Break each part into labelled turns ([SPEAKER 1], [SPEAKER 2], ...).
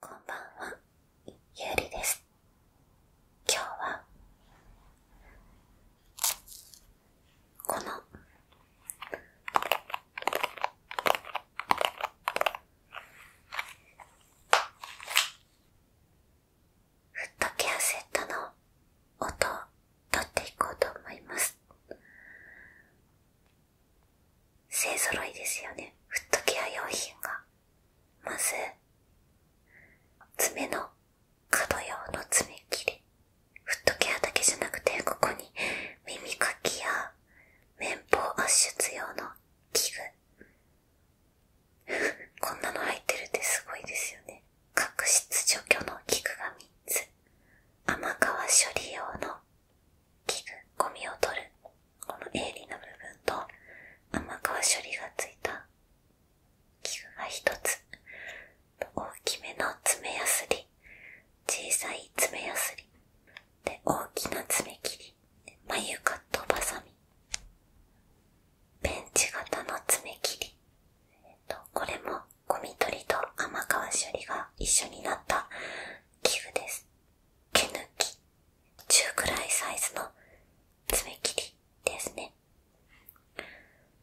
[SPEAKER 1] こんばんは、ゆうりです。今日は、この、フットケアセットの音を取っていこうと思います。勢揃いですよね。フットケア用品が。まず、爪の角用の爪切り。フットケアだけじゃなくて、ここに耳かきや綿棒圧出用の器具。こんなの入ってるってすごいですよね。角質除去の器具が3つ。甘皮処理用の器具、ゴミを取る、この鋭利な部分と甘皮処理がついた器具が一つ、大きめの爪やすり、小さい爪やすり、で、大きな爪切り、眉カットバサミ、ペンチ型の爪切り、これもゴミ取りと甘皮処理が一緒になった器具です。毛抜き中くらいサイズの爪切りですね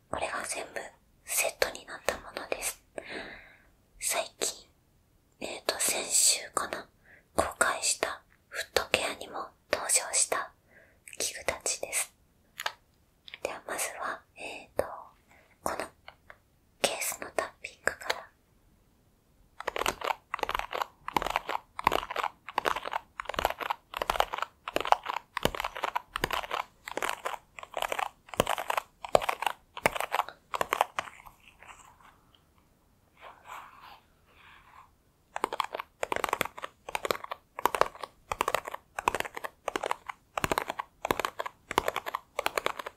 [SPEAKER 1] これが全部セットになったものです最近えっ、ー、と先週かな公開したフットケアにも登場した器具たちですではまずはえっ、ー、とこのケースのタッピングから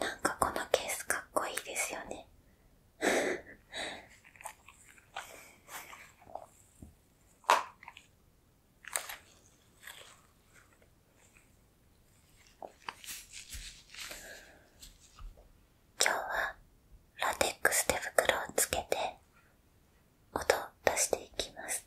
[SPEAKER 1] なんかこのケースかっこいいですよね今日はラテックス手袋をつけて音を出していきます。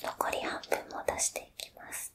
[SPEAKER 1] 残り半分も出していきます。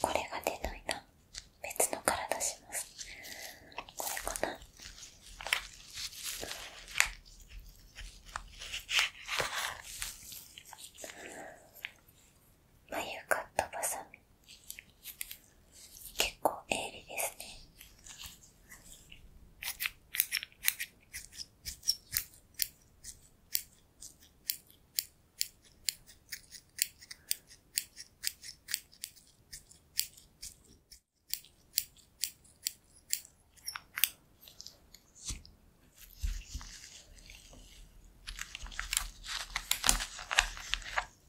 [SPEAKER 1] これが出ないな別のから出しますこれかな眉カットばさみ。結構鋭利ですね。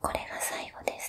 [SPEAKER 1] これが最後です。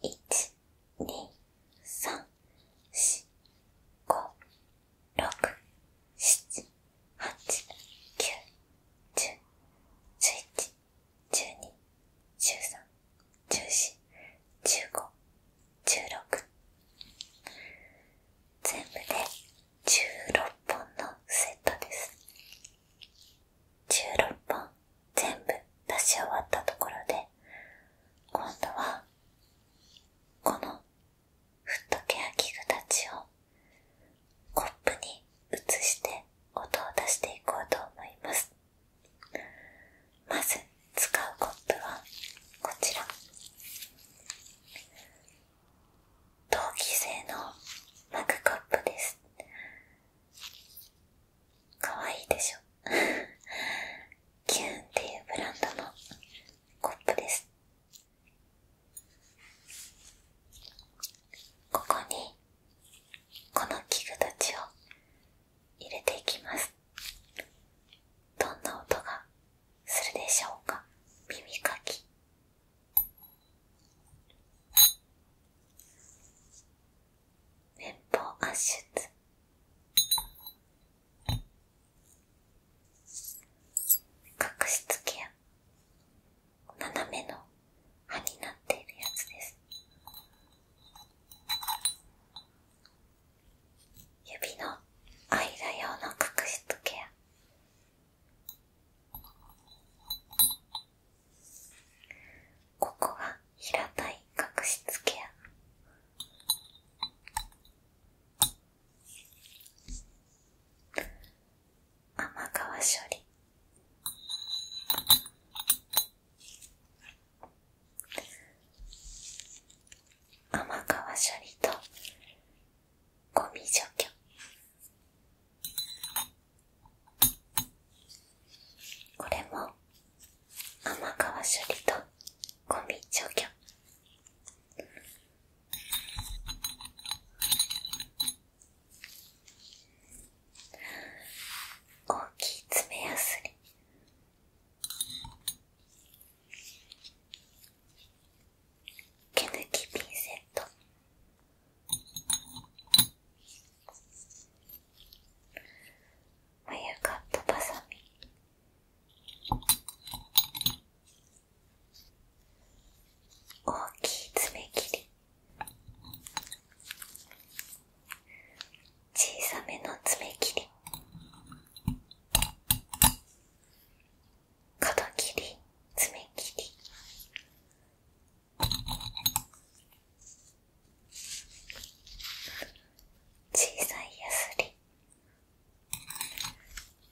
[SPEAKER 1] 一、二、三、四、五、六、七、8、9、10、11、12、13、14、15、16… 全部で16本のセットです。16本全部出し終わったところで、今度はこのフットケア器具たちをコップに移して音を出していこうと思いますまず使うコップはこちら陶器製のマグコップですかわいいでしょキ ューンっていうブランドのコップですここにこの器具たちを入れていきますどんな音がするでしょうか耳かき綿棒圧出角質ケア斜めの刃になっているやつです指の間用の角質ケアここが平たい角質ケア甘皮処理甘皮処理とゴミ除去これも甘皮処理とゴミ除去大きい爪やすり毛抜きピンセット眉カットバサミ大きい爪切り小さめの爪切り角切り爪切り小さいやすり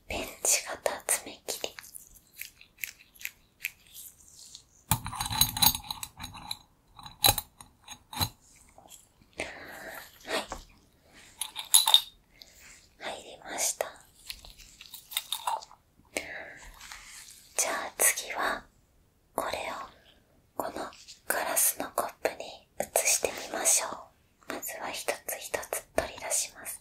[SPEAKER 1] ベンチ型爪切りはい入りましたじゃあ次はこれをこのガラスのコップに移してみましょうまずは一つ一つ取り出します。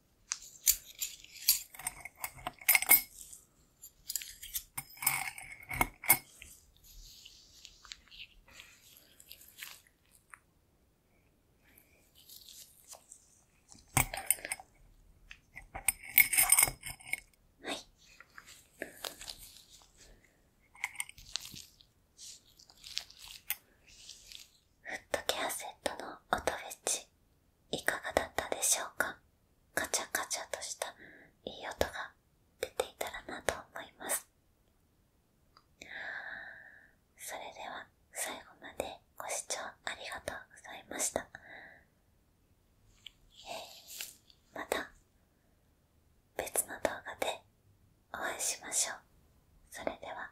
[SPEAKER 1] はいフットケアセットの音フェチいかがだったでしょうかカチャカチャとしたいい音が出ていたらなと思います。それでは最後までご視聴ありがとうございました。また別の動画でお会いしましょう。それでは